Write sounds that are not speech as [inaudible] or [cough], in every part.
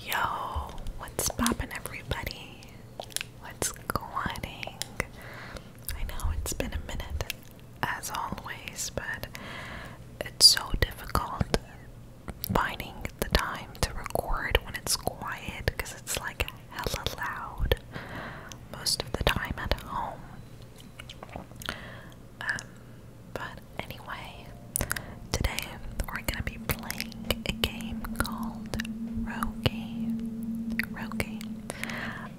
Yo, what's poppin' everybody? What's going? I know it's been a minute, as always, but it's so difficult finding the time to record when it's quiet because it's like hella loud most of the time at home. Um, but anyway, today we're gonna be playing a game called Rogue. Rogue.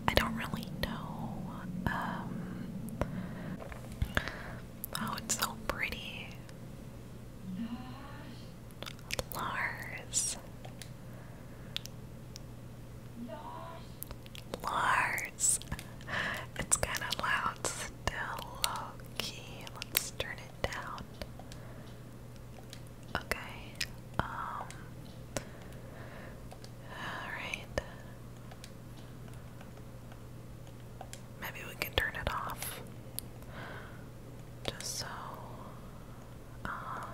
I don't really know. Um, oh, it's so pretty. Lars. Lars. It's kind of loud still, low key. Let's turn it turn it down. Okay. Um Alright. Maybe we can turn it off. Just so uh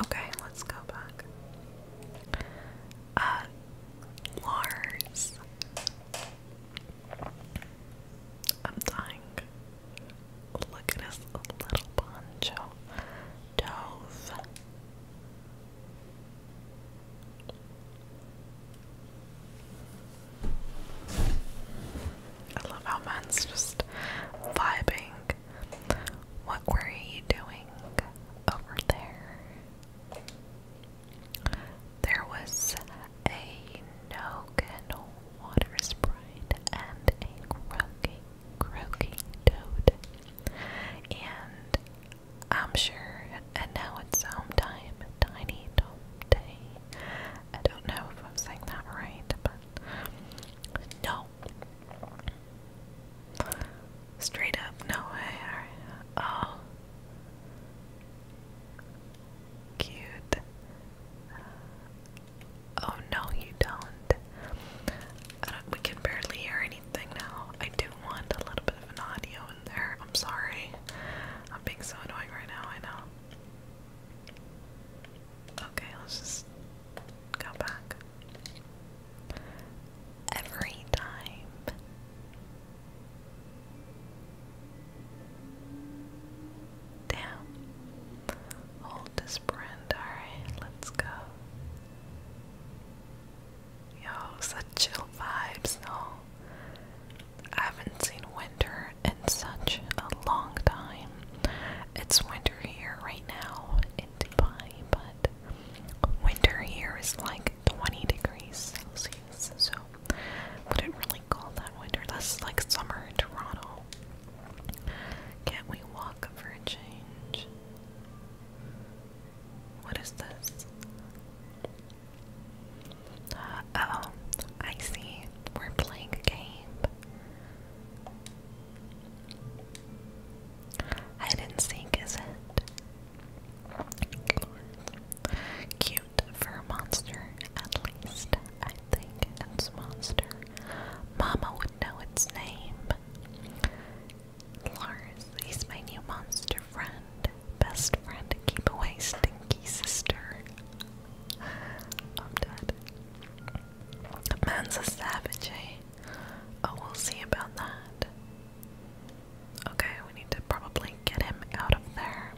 Okay, let's go back. Uh Lars I'm dying. Look at this little poncho. Dove. I love how man's just vibing. What were you doing over there? There was a Nogan water sprite and a croaking, croaking toad. And I'm sure, and now it's time, Tiny Tom Day. I don't know if I'm saying that right, but no. Straight up, no way. Oh cute. oh no, you don't. We can barely hear anything now. I do want a little bit of an audio in there. I'm sorry. I'm being so annoying right now. I know. Okay, let's just go back. Every time Damn. Hold this brand. Alright, let's go. Yo, such chill vibes, no? I haven't seen winter in such a long time. It's winter here right now in Dubai, but winter here is like 20 degrees Celsius, so wouldn't really call that winter. That's like summer in Toronto. Can't we walk for a change? What is this? oh, I see. We're playing a game. Hide and seek, is it? Cute for a monster, at least. I think it's a monster. Mama would know its name. Lars, he's my new monster friend. Best friend to keep away stinky sister. I'm dead. Man's a savage, eh? Oh, we'll see about that. Okay, we need to probably get him out of there.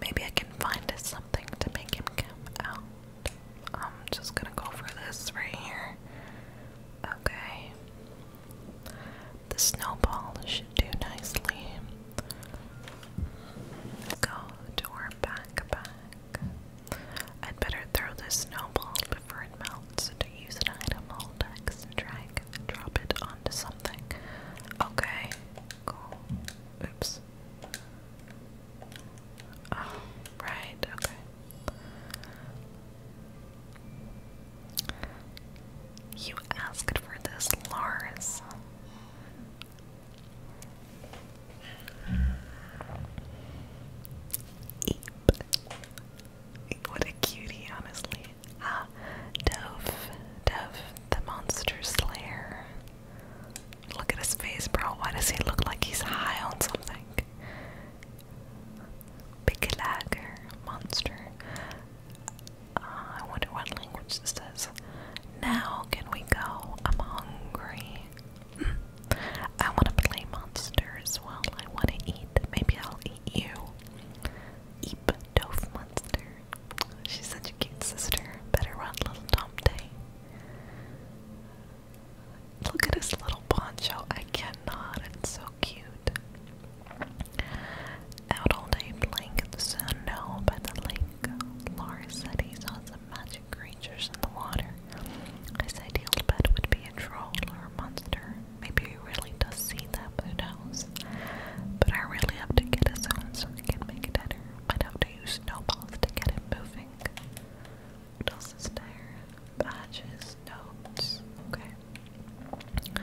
Maybe I can find something to make him come out. I'm just gonna go for this right here. Okay. The snowball should do nicely. Go to our backpack. I'd better throw this snowball before it melts to use an item all decks drag drop it onto something. Okay, Oops. Oh, right, okay. You asked for this, Lars. What a cutie, honestly. Ah, Dove. Dove, the monster slayer. Look at his face, bro. Why does he look like he's high on something? Big lagger, monster. Ah, I wonder what language this is. Now can we go? I'm hungry. [clears throat] I want to play monsters. as well. I want to eat. Maybe I'll eat you. Eep, dove monster. She's such a cute sister. Better run, little Tomte. Look at his little poncho. I cannot. It's so cute. Out all day playing in the snow by the lake. Laura said he saw some magic creatures in the water. His ideal pet would be a troll or a monster. Maybe he really does see them, who knows? this. But I really have to get us home so we can make dinner. I'd have to use snowballs to get it moving. What else is there? Badges, notes. Okay.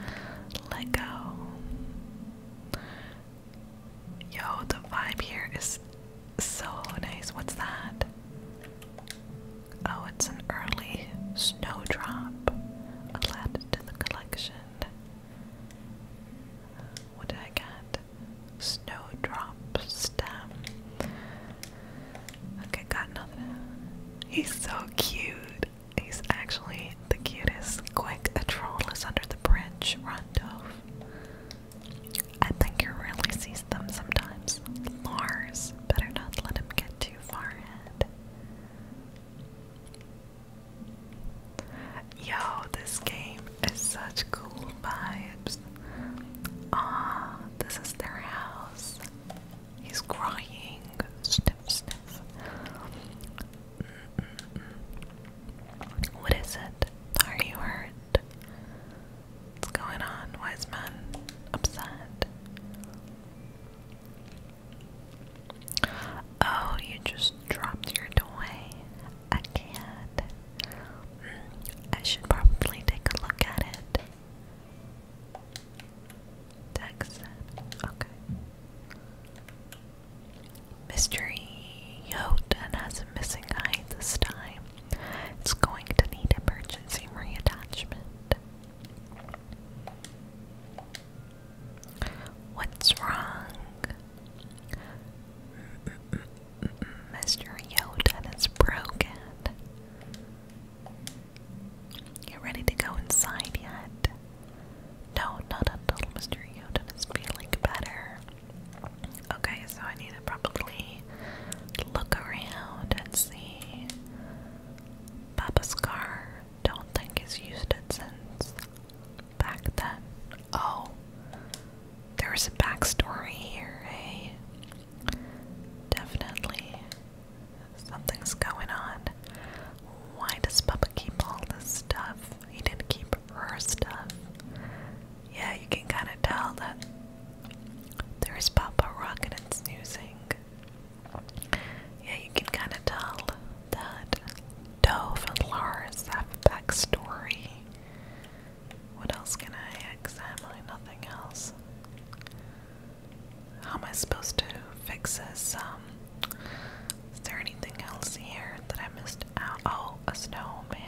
Let go. Yo, the vibe here is so nice. What's that? Oh, it's an early snowdrop. Add to the collection. What did I get? Snowdrop stem. Okay, got nothing. He's so cute. He's actually the cutest. Quick, a troll is under the bridge. Run, Dove. I think he really sees them sometimes. Lars, better not let him get too far ahead. Yo, this game is such cool vibes. Ah, this is their house. He's crying. Sniff, sniff. What is it? Are you hurt? What's going on? Wise man upset. Oh, you just dropped your toy. I can't. Mm, I should probably take a look at it. Text. Okay. Mr. Yotan has a missing eye this time. It's going to need emergency reattachment. What's wrong? Mr. Yoda is broken. You ready to go inside yet? No, not until Mr. Yoda is feeling better. Okay, so I need to probably look around and see. Papa's car. Don't think he's used it since back then. Oh, there a backstory here, eh? Definitely. Something's going on. Why does Papa keep all this stuff? He didn't keep her stuff. Yeah, you can kind of tell that there's Papa Rocket and snoozing. Yeah, you can kind of tell that Dove and Lars have backstory. What else can I examine? Nothing else. How am I supposed to fix this? Um, is there anything else here that I missed Oh, a snowman.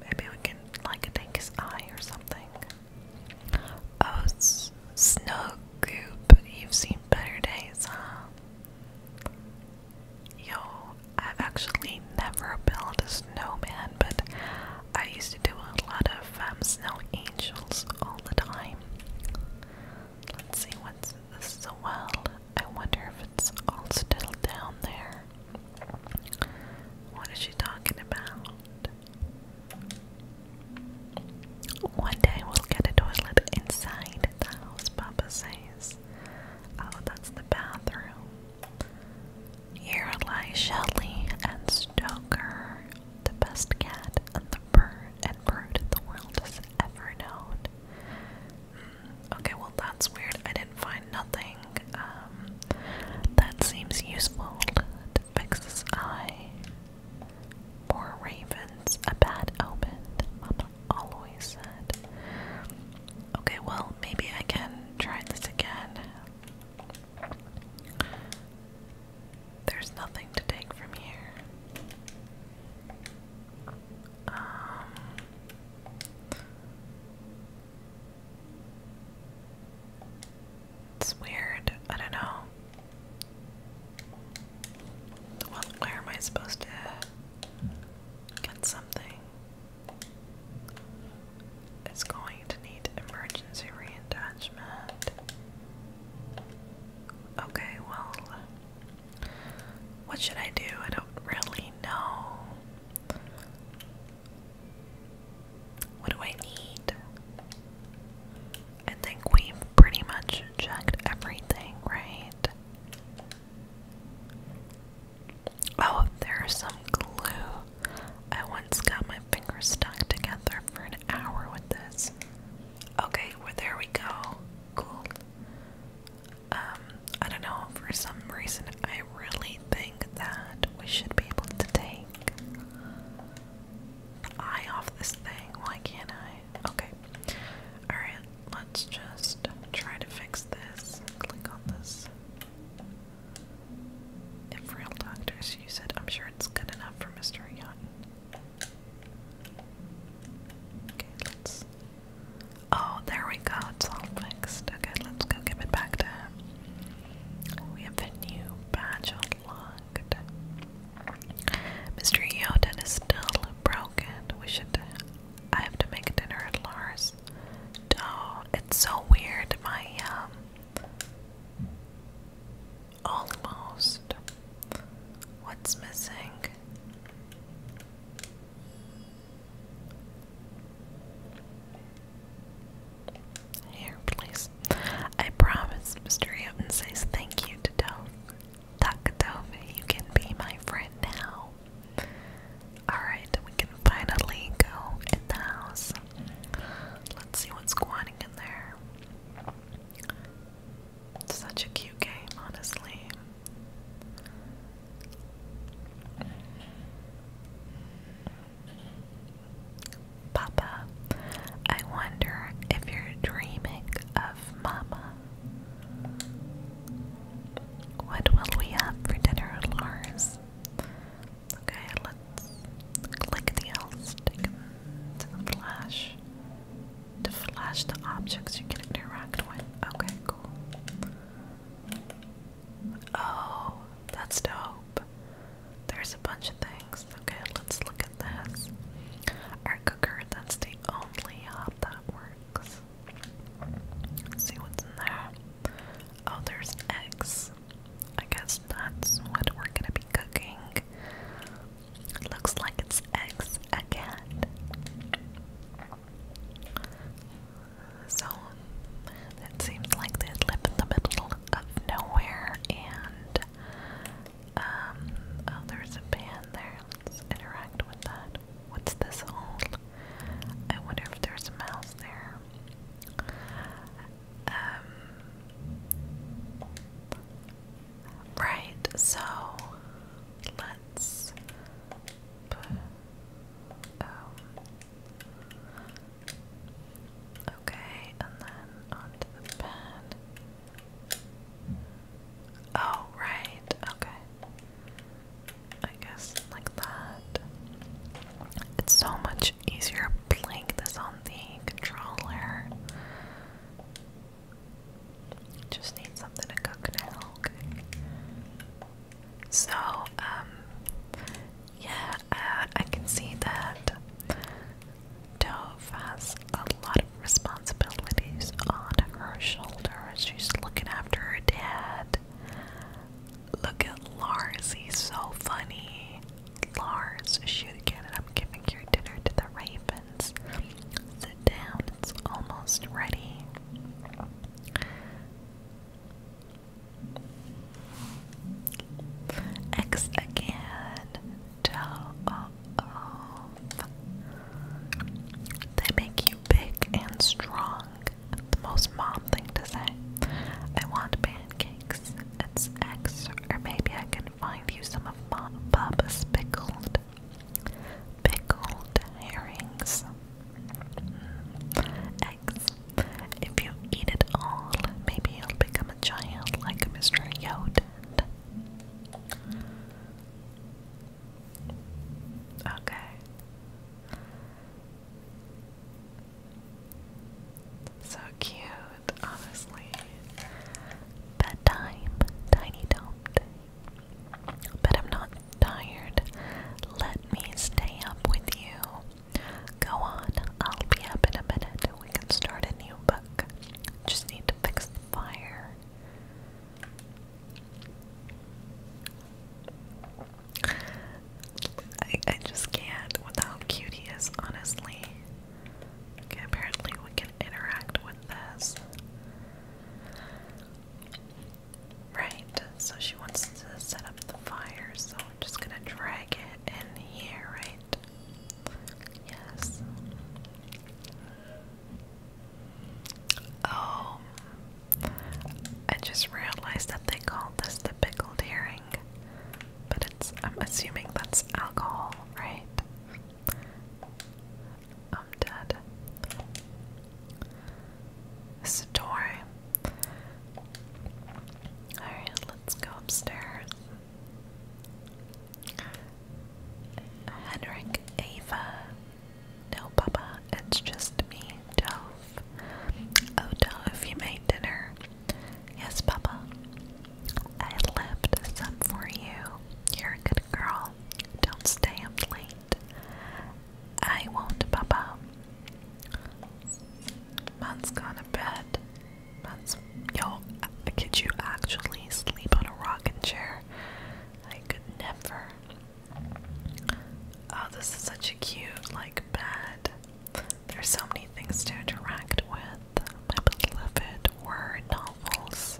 Maybe we can, like, take his eye or something. Oh, Snow Goop, you've seen better days, huh? Yo, I've actually never built a snowman, but I used to do a lot of um, snow angels all the time. Let's see, what's this is well. I wonder if it's all still down there. What is she talking about? One day we'll get a toilet inside the house, Papa says. Oh, that's the bathroom. Here lie Shelley and Stoker, the best cat and the bird and bird the world has ever known. Hmm, okay, well that's weird. I didn't find nothing. Um, that seems useful to fix his eye. Poor ravens, a bad omen always said. Okay, well, maybe I can try this again. There's nothing to take from here. Um, it's weird. I don't know. Well, am I supposed to Get something. It's going to need emergency reattachment. Okay, well, what should I do? I don't really know. What do I need? I think we've pretty much checked everything, right? Oh, there's some glue. I once got my fingers stuck together for an hour with this. Okay, well, there we go. Cool. Um, I don't know, for some reason, I really think that we should be able to take eye off this thing. Why can't I? Okay. Alright, let's just try to fix this. Click on this. If real doctors use it, I'm sure it's good enough for Mr. Young. Okay, let's. Oh, there we go. It's all fixed. Okay, let's go give it back to him. We have a new badge unlocked. Mr. Yoden is still broken. We should I have to make dinner at Lars. Oh, it's so weird. My um almost what's missing? Here, please. I promise, Mr. Hampton says thank you to Dove. Takatove, you can be my friend now. Alright, we can finally go in the house. Let's see what's going in there. such a cute game, honestly. Papa, I wonder if you're dreaming of Mama. What will we have for dinner, Lars? Okay, let's click the L to flash to flash the objects you can interact with. Okay, cool. Oh, that's dope. There's a bunch of things. Okay, let's look at this. Our cooker, that's the only hub that works. Let's see what's in there. Oh, there's eggs. I guess that's what we're gonna be cooking. It looks like it's eggs again. So, it seems like they live in the middle of nowhere and um, oh, there's a pan there. Let's interact with that. What's this hole? I wonder if there's a mouse there. Um, right, so let's um, okay, and then onto the pen. Oh, right. Okay. I guess like that. It's so much easier playing this on the controller. Just need something to cook now. Okay. So, um, yeah, uh, I can see that Dove has a lot of responsibilities on her shoulder. She's looking after her dad. Look at Lars. He's so funny. Lars, shoot again, and I'm giving your dinner to the ravens. Sit down, it's almost ready. X again. Oh, oh. They make you big and strong. The most mom thing to say. I want pancakes. It's eggs, or maybe I can find you some of mom, Bubba's pickled, pickled herrings. eggs. if you eat it all, maybe you'll become a giant like Mr. Yoden. Okay, so cute, honestly. Bedtime, tiny don't. I'm not tired. Let me stay up with you. Go on, I'll be up in a minute. We can start a new book. Just need to fix the fire. I, I just can't with how cute he is, honestly. apparently we can interact with this. Right, so she wants to set up the fire, so I'm just gonna drag it in here, right? Yes. Oh, I just realized that they called this the pickled herring, but it's, I'm assuming that's alcohol, right? I'm dead. Story. Alright, let's go upstairs. Henrik Ava no, Papa, it's just me, Dove. Oh, Dove, you made dinner. Yes, Papa. I left some for you. You're a good girl. Don't stay up late. I won't, Papa. Mom's gone to bed. Mom's. Yo, could you actually sleep on a rocking chair? I could never. Oh, this is such a cute, like, bed. There's so many things to interact with. My beloved were novels.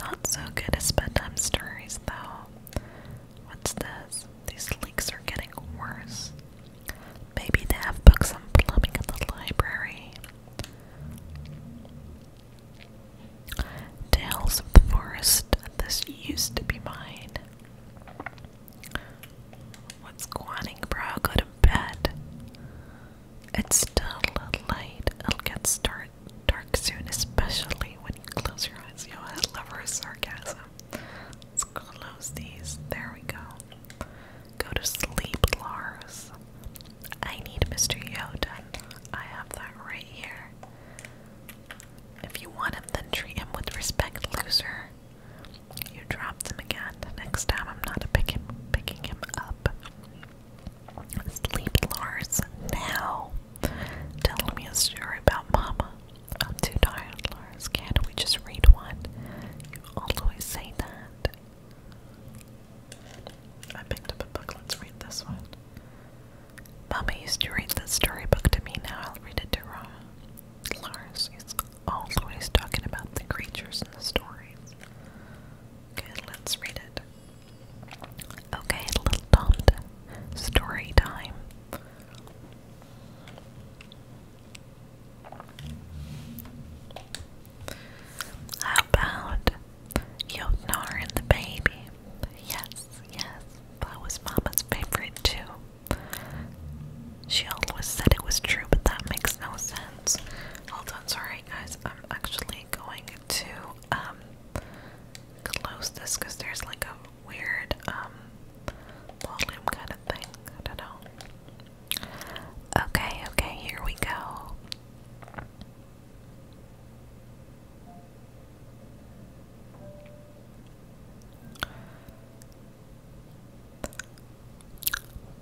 Not so good as bedtime stories, though. What's this? These leaks are getting worse. Maybe they have books on plumbing at the library. Tales of the forest. This used to be mine. What's quanning, bro? Go to bed. It's still light. It'll get start dark soon, especially when you close your eyes. Yo, I love her sarcasm. Let's close these. There we go. Go to sleep, Lars. I need Mr. Yoda. I have that right here. If you want him, then treat him with respect, loser. You dropped him again. Next time, I'm not pick picking him up. Sleep, Lars, now. Tell me a story about Mama. I'm too tired, Lars. Can't we just read one? You always say that. I picked up a book. Let's read this one. Mama used to read the storybook to me, now I'll read it to Ra. Lars is always talking about the creatures in the stories. Okay, let's read it. Okay, little Tomda. Story time. How about Jotnar and the baby? Yes, yes. That was Mama's favorite too. She always said it was true, but that makes no sense. Hold on, sorry guys. I'm actually going to um close this because there's like a weird um volume kind of thing. I don't know. Okay, okay, here we go.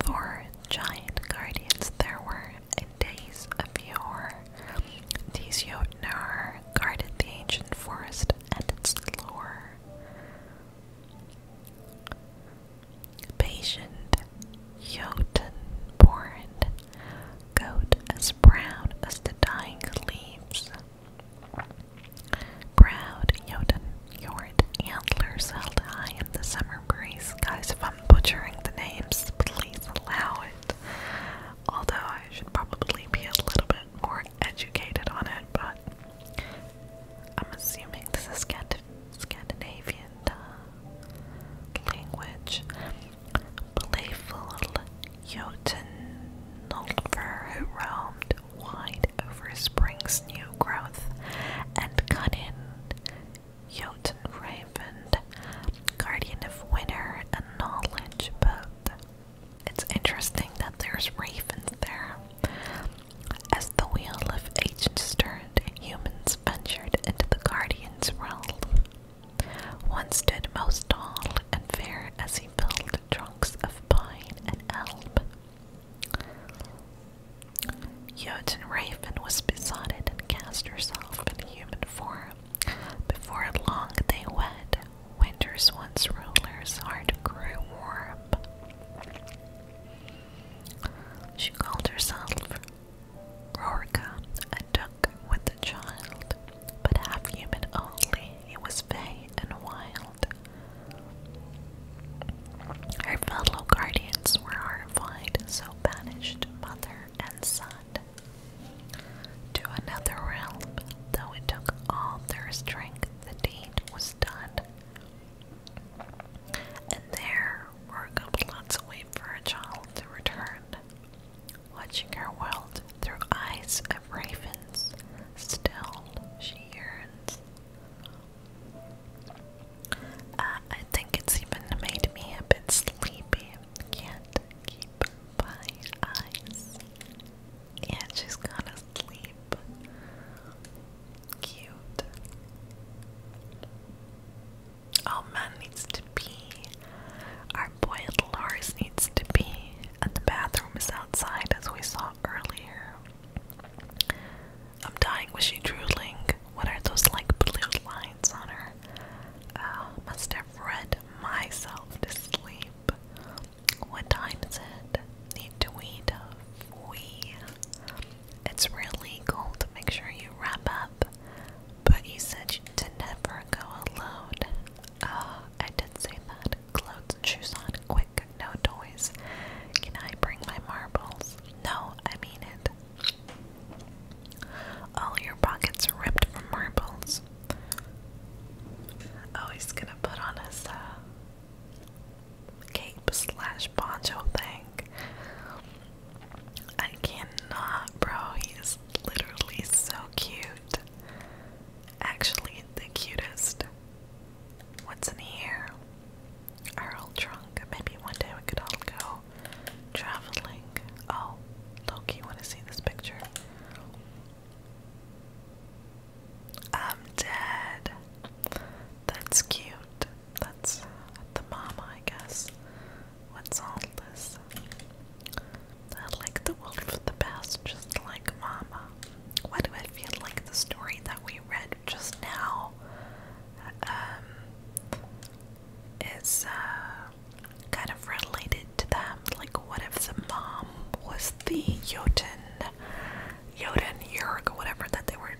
For giant guardians, there were in days of yore. These Jotnar guarded the ancient forest and its lore. Patient Jotun born, goat as brown as the dying leaves. Proud Yoden Yord antlers held high in the summer breeze. Guys, if I'm butchering the names, please allow it. Although I should probably be a little bit more educated on it, but I'm assuming this is Scandinavian uh, language playful Jotunulfr who roamed wide over spring's new growth, and cunning Cunnin, Raven, guardian of winter and knowledge both. It's interesting that there's ravens there. As the wheel of ages turned, humans ventured into the guardian's realm. One stood most tall and fair as he built trunks of pine and elm. Jotun Raven was besotted and cast herself in human form. Before long they wed, winter's once ruler's heart grew warm. She called herself Rorka and took with the child but half human only. It was vain and wild. Her fellow guardians were horrified, so banished mother and son to another realm. Though it took all their strength, the deed was done. And there, were Virgo plots a way for a child to return watching her world through eyes of ravens. Still, she yearns. Uh, I think it's even made me a bit sleepy. Can't keep my eyes. Yeah, she's gonna sleep. Cute. Oh, man to pee. Our boy, boiled Lars needs to pee, and the bathroom is outside as we saw earlier. I'm dying, was she drooling? What are those like blue lines on her? Uh, must have read myself to sleep. What time is it? Need to weed We. It's really cold. to make sure you wrap up, but you said to never go alone. Uh, I did say that. Clothes shoes on, quick, no toys. Can I bring my marbles? No, I mean it. All your pockets ripped from marbles. Oh, he's gonna put on his uh, cape slash poncho thing. I cannot, bro. He literally so cute actually the cutest. What's in here? Our old trunk. Maybe one day we could all go traveling. Oh, Loki, want to see this picture? I'm dead. That's cute. That's the mama, I guess. What's all this? I like the world for the best, just like Mama. Why do I feel like the story that we read just now um, is uh, kind of related to them? Like, what if the mom was the Jotun, Jotun, Yurg, whatever that they were?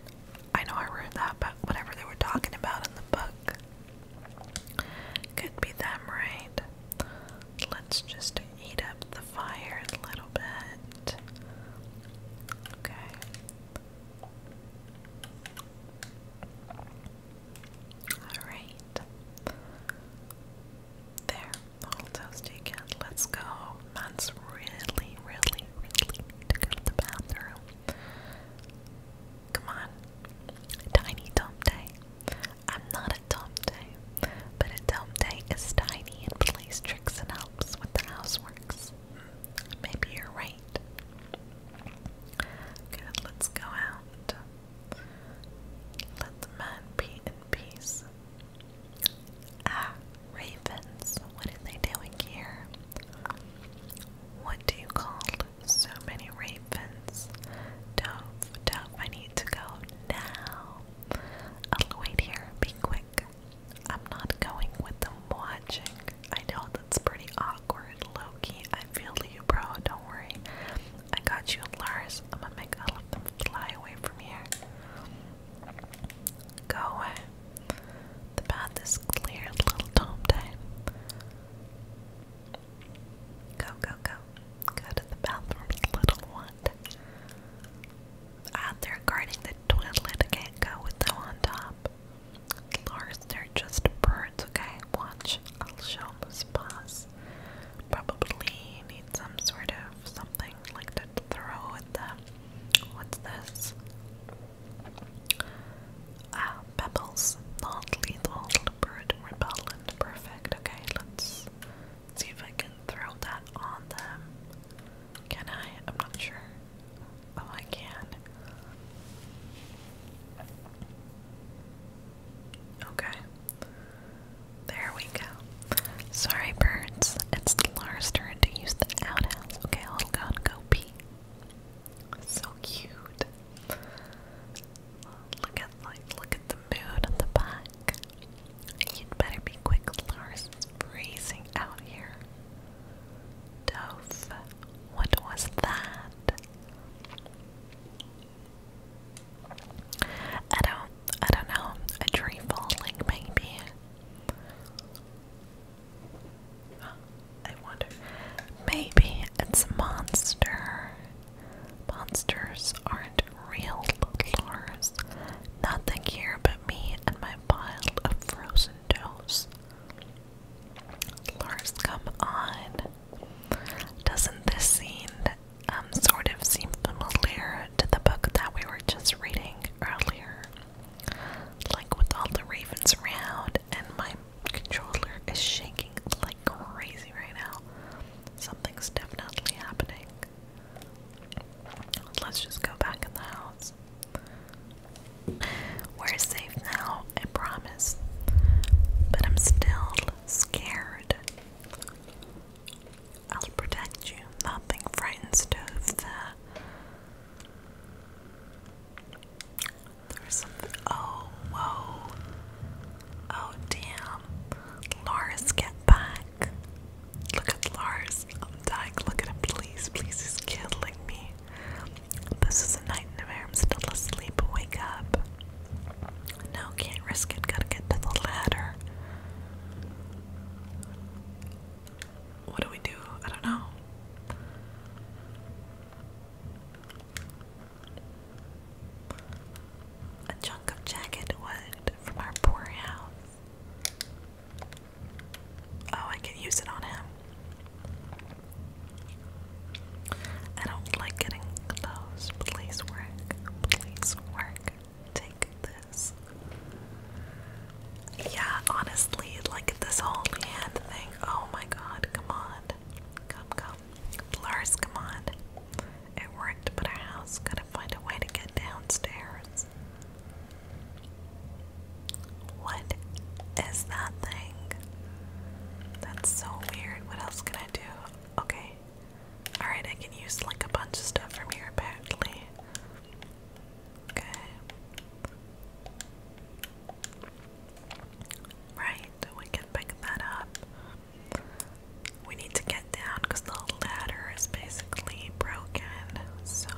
I know I read that, but whatever they were talking about in the book. Could be them, right? Let's just eat up the a little bit. Okay. Alright. There, the whole toes Let's go. That's really, really, really go to the bathroom. Come on. Tiny dump day. I'm not a day, but a day is tiny and plays tricks and helps with the houseworks. Maybe you're right. Good, let's go out. Let the man be in peace. Ah, ravens, what are they doing here? What do you call so many ravens? Dove, dove, I need to go now. I'll oh, wait here, be quick. I'm not going with them watching. I know that's pretty awkward, Loki. I feel you, bro. Don't worry. I got you, Lars. I'm gonna make all of them fly away from here. Go away. The path is clear, little Tom time. Go, go, go. Go to the bathroom, little one. Ah, they guarding the toilet. can't go with them on top. Lars, they're just birds, okay? Watch. I'll show them his paws. Probably need some sort of something like to throw at them. What's this? Ah, pebbles. Not lethal. Bird repellent. Perfect. Okay, let's see if I can throw that on them. Can I? I'm not sure. Oh, I can. Okay. There we go. Sorry, birds. It's Lars' turn to use the outhouse. Okay, I'll go and pee. So cute. Look at like look at the mood of the pie. You'd better be quick, Lars freezing out here. Dove, what was that? I don't, I don't know, a tree falling maybe? I wonder, maybe it's a monster. Monsters aren't real, Lars. Nothing here but me and my pile of frozen toes. Lars, come on. Doesn't this scene um, sort of seem familiar to the book that we were just reading earlier? Like with all the ravens around, and my controller is shaking like crazy right now. Something's definitely happening. Let's just go back in the house. We're safe now, I promise. But I'm still scared. I'll protect you. Nothing frightens Dove the. There something. Oh, whoa. Oh damn. Lars, get back. Look at Lars. I'm dying. Look at him, please. Please, he's killing me. This is a nightmare. I'm still asleep. Wake up. No, can't risk it. Gotta get to the ladder. What do we do? I don't know. A chunk of jagged wood from our poor house. Oh, I can use it on him. I don't like getting close. Please work. Please work. Take this. Yeah, honestly, like this whole hand thing. Oh my god, come on. Come, come. Blurs, come on. It worked, but our house couldn't find a way to get downstairs. What is that thing? That's so weird. What else can I do? Okay. Alright, I can use like a bunch of stuff from here apparently. Okay. Right, we can pick that up. We need to get down because the ladder is basically broken. So,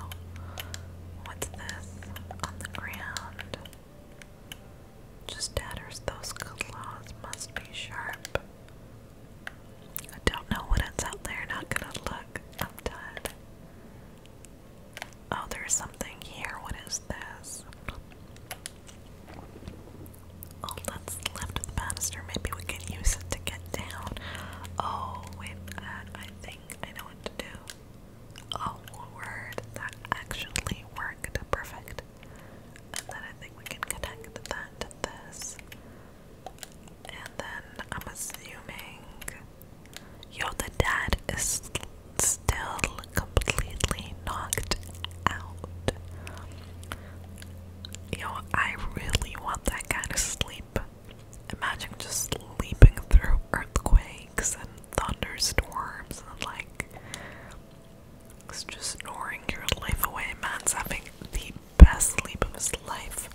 what's this on the ground? Just tatters. Those claws must be sharp. I don't know what it's out there. Not gonna look. I'm done. Oh, there's something here. What is this? All oh, that's left of the banister, maybe we can use it to get down. Oh, wait, that, I think I know what to do. Oh, word, that actually worked. Perfect. And then I think we can connect that to this. And then I'm assuming. Yo, the dad is still completely knocked out. Yo, I really want that kind of sleep. Imagine just sleeping through earthquakes and thunderstorms and like just snoring your life away. Man's having the best sleep of his life.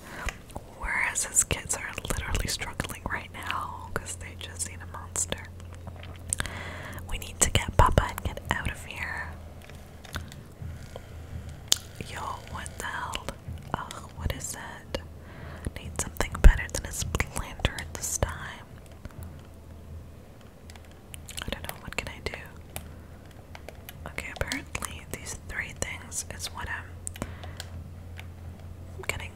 Whereas his kids are literally struggling right now because they just seen a monster. We need to get Papa and get out of here. Yo, what the hell? Ugh, what is that? Need something better than a splinter this time. I don't know, what can I do? Okay, apparently these three things is what I'm getting.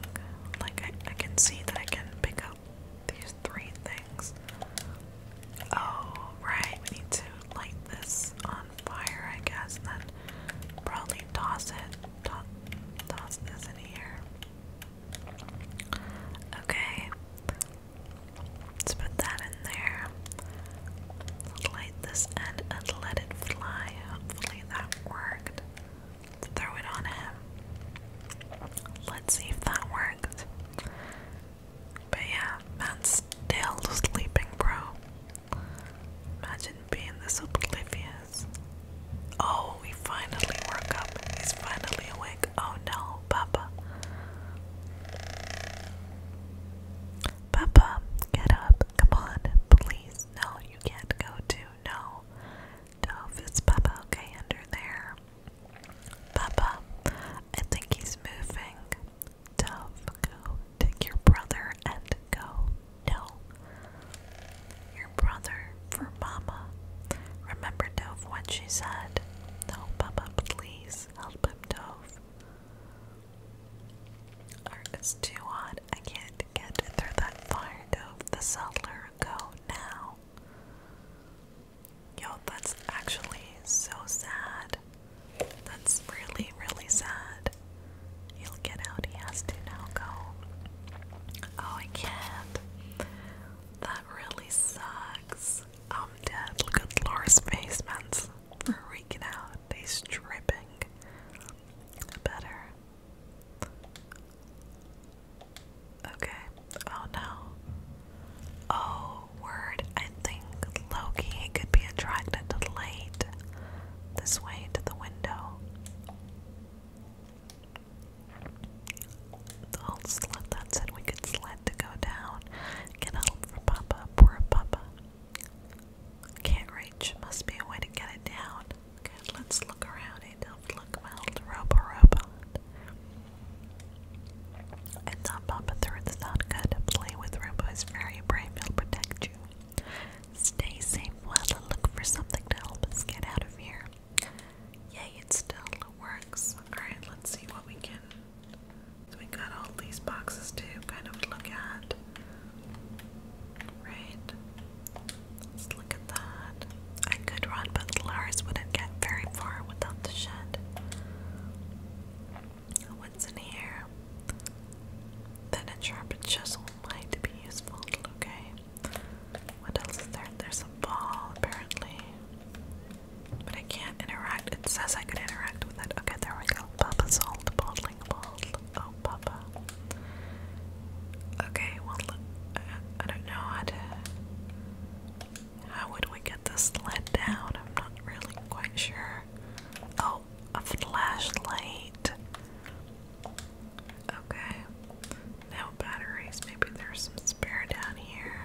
Like, I can see that I can pick up these three things. Oh, right, we need to light this on fire, I guess, and then probably toss it. toss this in here. Okay. Let's put that in there. Light this end and let it fly. Hopefully that worked. throw it on him. Let's see if that worked. But yeah, man's still sleeping, bro. Imagine being this oblivious. Oh, we finally woke up. He's finally awake. Oh no, Papa. Papa, get up. Come on, please. No, you can't go to. No. Dove, it's Papa. Okay, under there. Papa, I think he's moving. Dove, go take your brother and go. No. Your brother for Mama. Remember, Dove, what she said? No, Papa, please help him, Dove. Alright, it's too hot. I can't get through that fire, Dove. The settler, go now. Yo, that's actually so sad. That's really, really sad. He'll get out. He has to now go. Oh, I can't. That really sucks. I'm dead. Look at Laura's face, man's freaking out. He's dripping. Better. Okay. Oh no. Oh, word. I think Loki could be attracted to the light this way to the window. The old that said we could sled to go down. Get help for Papa, poor Papa. Can't reach, must be a way to get it down. let's look around. Hey, don't look around. robot. It's not Papa through, it's not good. Play with Roomba very brave, he'll protect you. Stay safe while I look for something to help us get out of here. Yay, it still works. Alright, let's see what we can. we got all these boxes to kind of look at. Right? Let's look at that. I could run, but Lars wouldn't get very far without the shed. What's in here? Then a sharpened chisel might be useful. Okay. What else is there? There's a ball apparently. But I can't interact. It says I could interact with it. Okay, there we go. Papa's old bottling ball. Oh, Papa. Okay, well, uh, I don't know how to. How would we get this sled down? I'm not really quite sure. Oh, a flashlight. Okay. No batteries. Maybe there's some spare down here.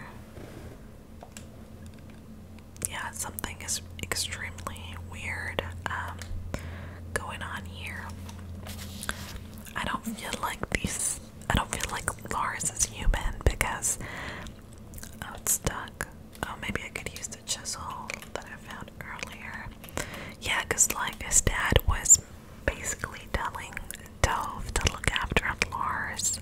Yeah, something is extremely weird um, going on here. I don't feel like these. I don't feel like Lars is human because Oh, it's stuck. Oh, maybe I could use the chisel that I found earlier. Yeah, because like his dad was basically telling Dove to look after Lars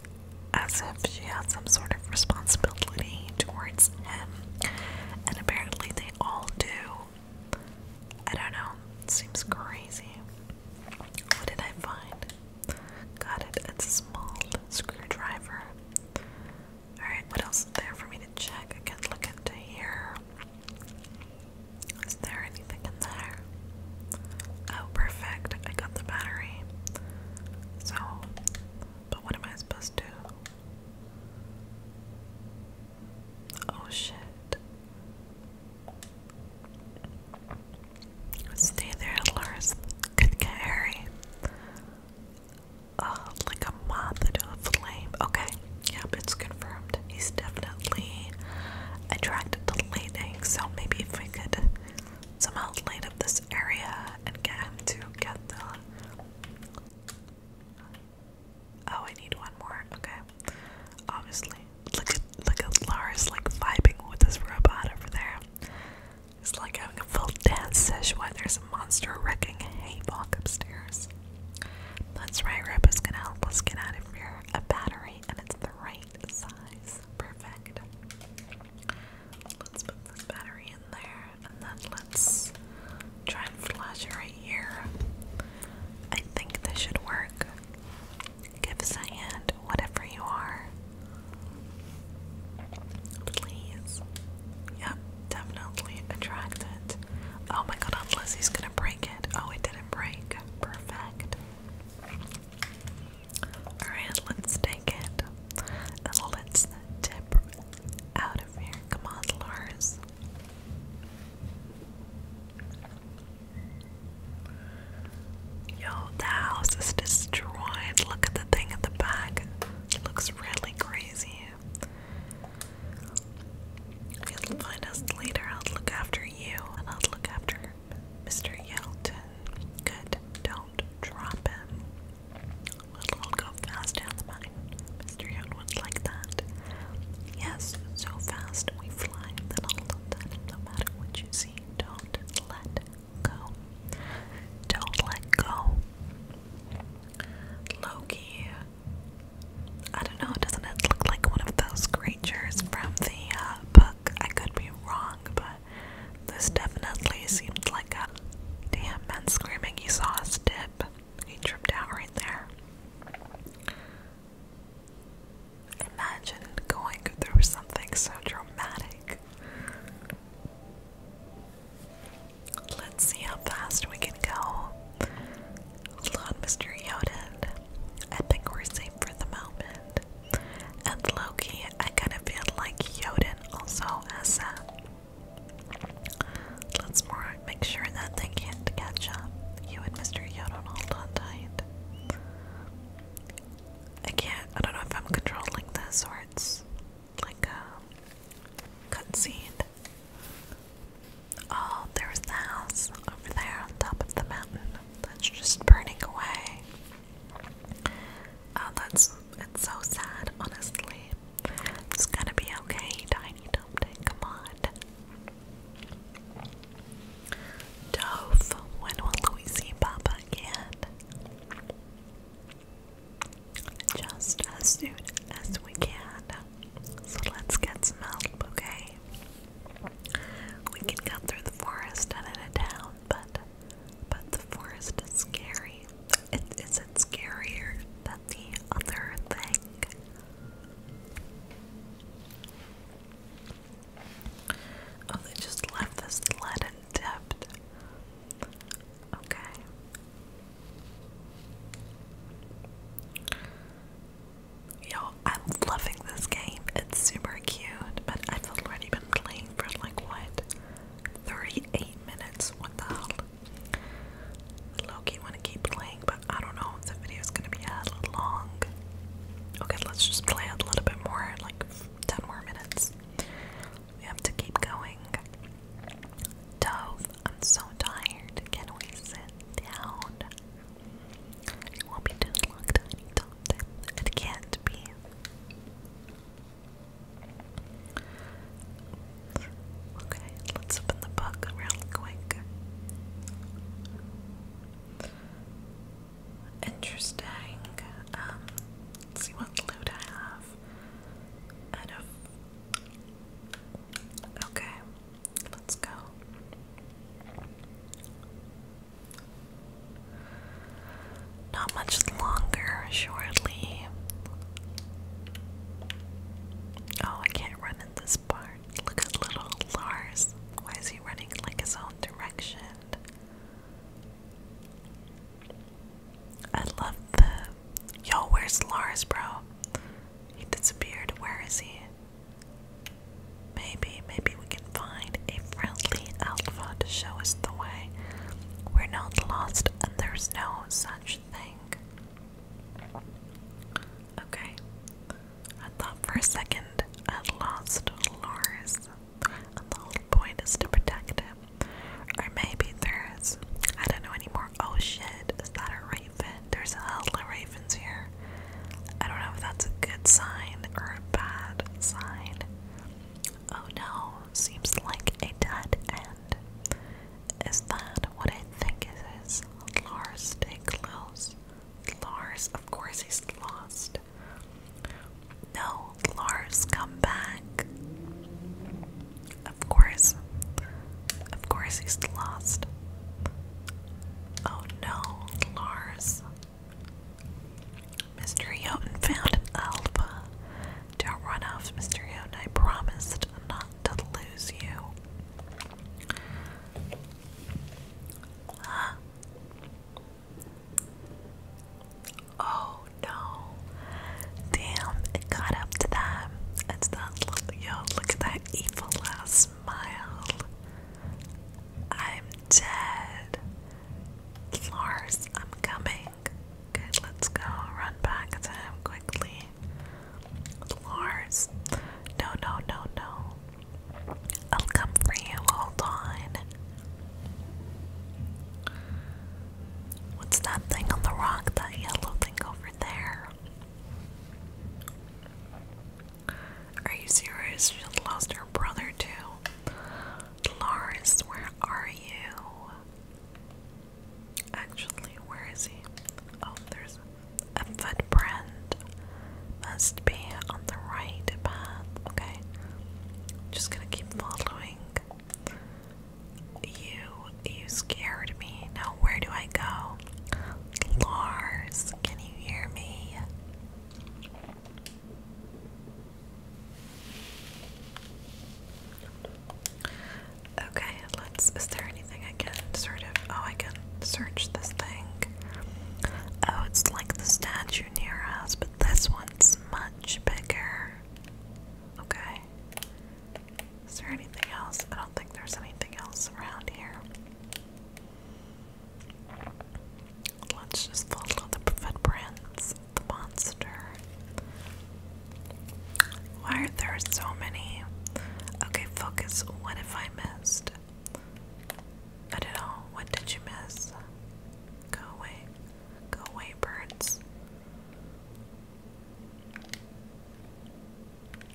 as if she had some sort of responsibility towards him. And apparently they all do. I don't know. It seems crazy. What did I find? Got it. It's a small screwdriver. Alright, what else is there for me to check? I can look into here. Is there anything in there? Oh, perfect. I got the battery. So, but what am I supposed to Oh shit. Stay there, Lars. Could get hairy. Uh, like a moth into a flame. Okay, yep, it's confirmed. He's definitely attracted to lighting. so maybe if we could somehow light up this area and get him to get the. Oh, I need one more. Okay, obviously. Look at look at Lars like vibing with his robot over there. It's like having a full dance session while there's a monster wrecking a haylock upstairs. That's right, Rip is gonna help us get out of here. A battery, and it's the right size. Perfect. Let's put this battery in there, and then let's try and flash it right here. I think this should work. Give us a hand, whatever you are. Please. Yep, definitely attract Oh my god, unless he's gonna break it. Oh, it didn't break. Perfect. Alright, let's take it. let's tip out of here. Come on, Lars. Yo, the house is destroyed. Look at the thing at the back. It looks really crazy. You'll find us later. I'll look after you, and I'll look after Mr. Yelton. Good. Don't drop him. We'll go fast down the mine. Mr. Young was that. Yes, so fast we fly that all of that, no matter what you see, don't let go. Don't let go. Loki. I don't know, doesn't it look like one of those creatures from the uh, book? I could be wrong, but this definitely seemed like a damn man screaming. He saw us dip. He tripped out right there. Imagine going through something so dramatic. Let's see how fast we can go. Hold on, Mr. Yoden. I think we're safe for the moment. And Loki, I kind of feel like Yoden also has that. Let's make sure that they can't catch up. You and Mr. Yoden hold on tight. I can't, I don't know if I'm controlling this or like a cutscene. Oh, there's the house over there on top of the mountain that's just burning away. Oh, that's it's so sad, honestly. It's gonna be okay, Tiny Dumpty. Come on. Dove, when will Louis see Papa again? just as soon as we can. So let's get some help, okay? We can cut through the forest and into town, but but the forest is scary. It is it scarier than the other thing. Oh, they just left this in depth. Okay. you I'm loving this game. It's super cute, but I've already been playing for like what? 38 minutes? What the hell? Loki wanna keep playing, but I don't know if the video's gonna be a long. Okay, let's just play it a little bit more, like 10 more minutes. We have to keep going. Dove, I'm so tired. Can we sit down? It won't be too It can't be. Okay, let's open the book real quick. Interesting. Um, see what loot I have. Out Okay, let's go. Not much longer, shortly. Oh, I can't run in this part. Look at little Lars. Why is he running like his own direction? I love the. Yo, where's Lars, bro? He disappeared. Where is he? Maybe, maybe we can find a friendly alpha to show us the way. We're not lost, and there's no such thing. Okay. I thought for a second I lost Lars, and the whole point is to protect him. Or maybe there's, I don't know anymore. Oh shit, is that a raven? There's a hell ravens here. I don't know if that's a good sign or a bad sign. Oh no, seems like a dead end. Is that what I think it is? Lars, stay close. Lars, of course he's lost. No, Lars, come back. Of course. Of course he's lost. Oh no, Lars. Mr. Yoten found an alpha. Don't run off, Mr. Yoten. I promised not to lose you. Oh no. Damn, it got up to that. It's that look, yo, look at that evil ass smile. I'm dead. Lars, I'm coming. Good, let's go. Run back to him quickly. Lars. No, no, no, no. I'll come for you. Hold on. What's that thing on the rock? That yellow over there. Are you serious? She lost her brother too. Lars, where are you? Actually, where is he? Oh, there's a footprint. Must be on the right path. Okay. Just gonna keep following. You, you scared me. Now where do I go? Lars, can you hear me? Okay, let's. Is there anything I can sort of. Oh, I can search this thing. Oh, it's like the statue near us, but this one's much bigger. Okay. Is there anything else? I don't think there's anything else around here. Let's just follow the footprints the monster. Why are there so many? Okay, focus. What if I missed? I don't know. What did you miss? Go away. Go away, birds.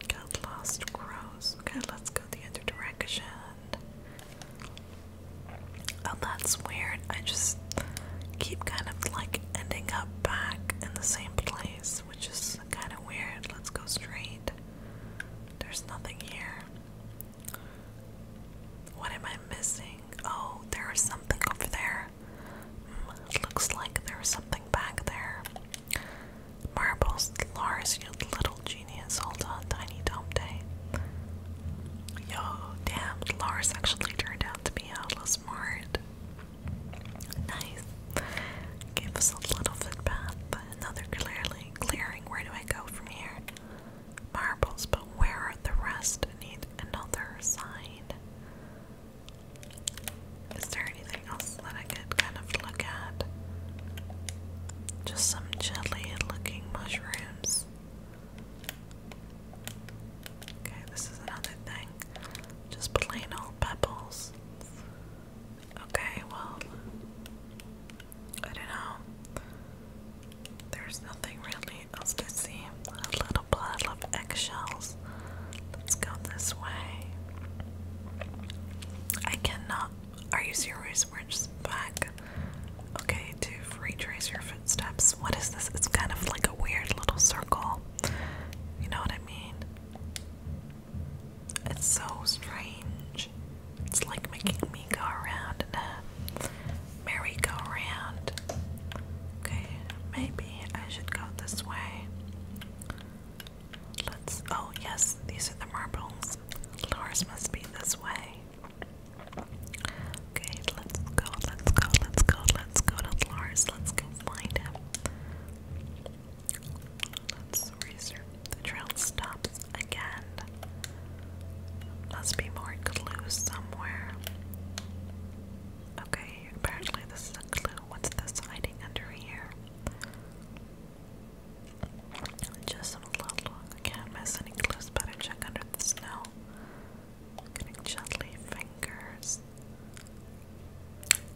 Got lost crows. Okay, let's go the other direction. Oh, that's weird. I just keep kind of like ending up back in the same place, which is kind of weird. Let's go straight. There's nothing here. What am I missing? Oh, there is something over there looks like there's something back there. Marbles, Lars, you little genius. Hold on, Tiny Dome Day. Yo, damn, Lars actually turned out to be a little smart. Nice. Give us a little footpath, but another clearly clearing. Where do I go from here? Marbles, but where are the rest? I need another sign. Is there anything else that I could kind of look at? Just some jelly looking mushrooms. Okay, this is another thing. Just plain old pebbles. Okay, well, I don't know. There's nothing really else to see. little little pile of eggshells. Let's go this way. I cannot. Are you serious? We're just back. Okay, to retrace your footsteps. What is this? It's kind of like a weird little circle. You know what I mean? It's so strange. It's like making me go around in a merry-go-round. Okay, maybe I should go this way. Let's. Oh, yes, these are the marbles. Lars must be this way. Okay, let's go, let's go, let's go, let's go to Lars. Let's go find him. Let's research. The trail stops again. Must be more clues somewhere. Okay, apparently this is a clue What's this hiding under here? Just a little I can't miss any better check under the snow. getting gently fingers.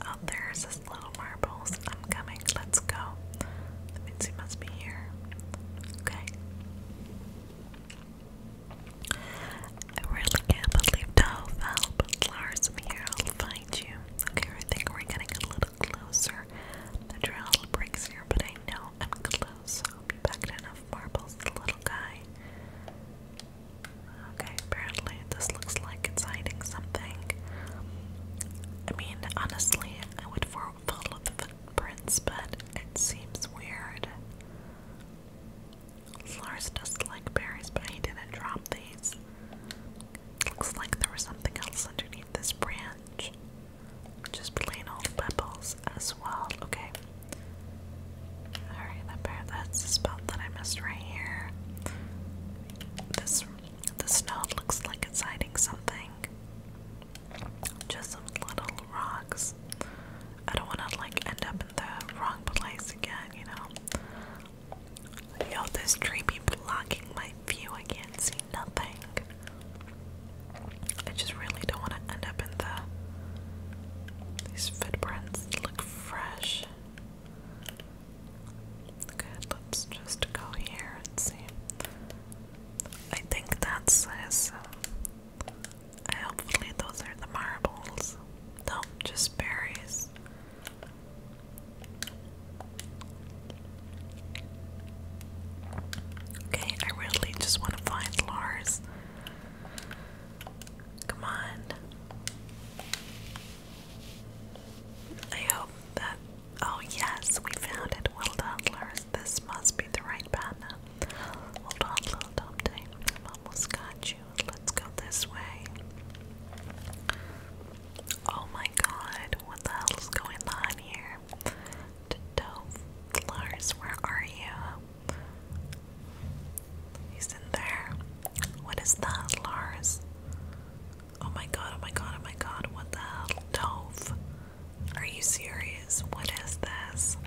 Oh, there's his little marbles. I'm coming, let's go. That must be here. Okay. I really can't believe Dove, Al, Lars, I'm here, I'll find you. Okay, I think we're getting a little closer. The trail breaks here, but I know I'm close. I'll be enough marbles, little guy. Okay, apparently this looks like it's hiding something. I mean, honestly, I would follow the footprints, but it seems weird. Lars doesn't like berries, but he didn't drop these. Looks like there was something else underneath this branch. Just plain old pebbles as well. Okay. Alright, that bear that's the spot that I missed right here. This the snow looks like it's hiding something. Just some little rocks. I don't wanna like end up in the wrong place again, you know. Yo, this tree be blocking my view. I can't see nothing. I just really don't want to end up in the. These footprints look fresh. Good, let's just go here and see. I think that's this. Uh, hopefully, those are the marbles. No, just berries. Okay, I really just want to find Lars. Come on. I hope that. Oh, yes, we found it. Well done, This must be the right pattern. Hold on, little Dante. i almost got you. Let's go this way. Oh my god, what the hell is going on here? Dove Lars, where are you? He's in there. What is that, Lars? Oh my god, oh my god, oh my god, what the hell? Dove. Are you serious? What is this?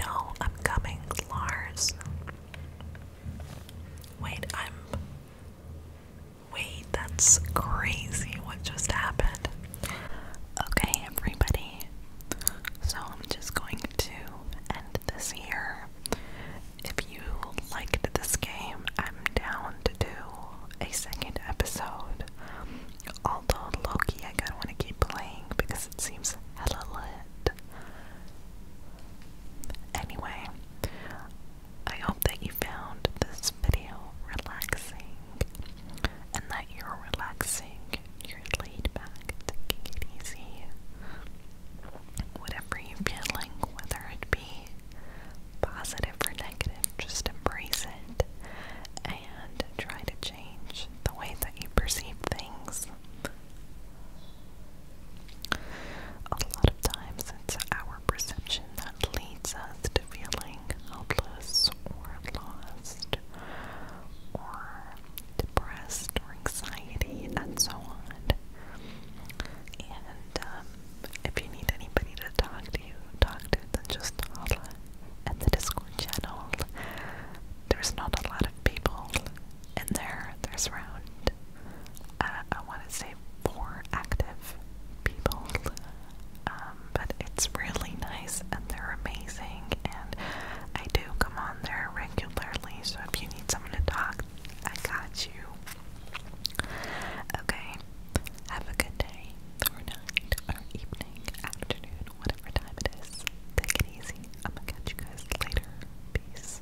No, I'm coming, Lars. Wait, I'm. Wait, that's crazy what just happened. Okay, everybody. So I'm just going to end this here. If you liked this game, I'm down to do a second episode. Although Loki, I kinda wanna keep playing because it seems hella lit. Anyway, I hope that you found this video relaxing and that you're relaxing, you're laid back, taking it easy. Whatever you're feeling, whether it be positive or negative, just embrace it and try to change the way that you perceive things a lot of times it's our perception that leads us to feeling helpless or lost or depressed or anxiety and so on. And um, if you need anybody to talk to you, talk to then just holla at the Discord channel. There's not a lot of people in there. There's around uh, I want to say four active people, um, but it's really nice and they're amazing. And I do come on there regularly, so if you need someone to talk, I got you. Okay, have a good day, or night, or evening, afternoon, whatever time it is. Take it easy. I'm gonna catch you guys later. Peace.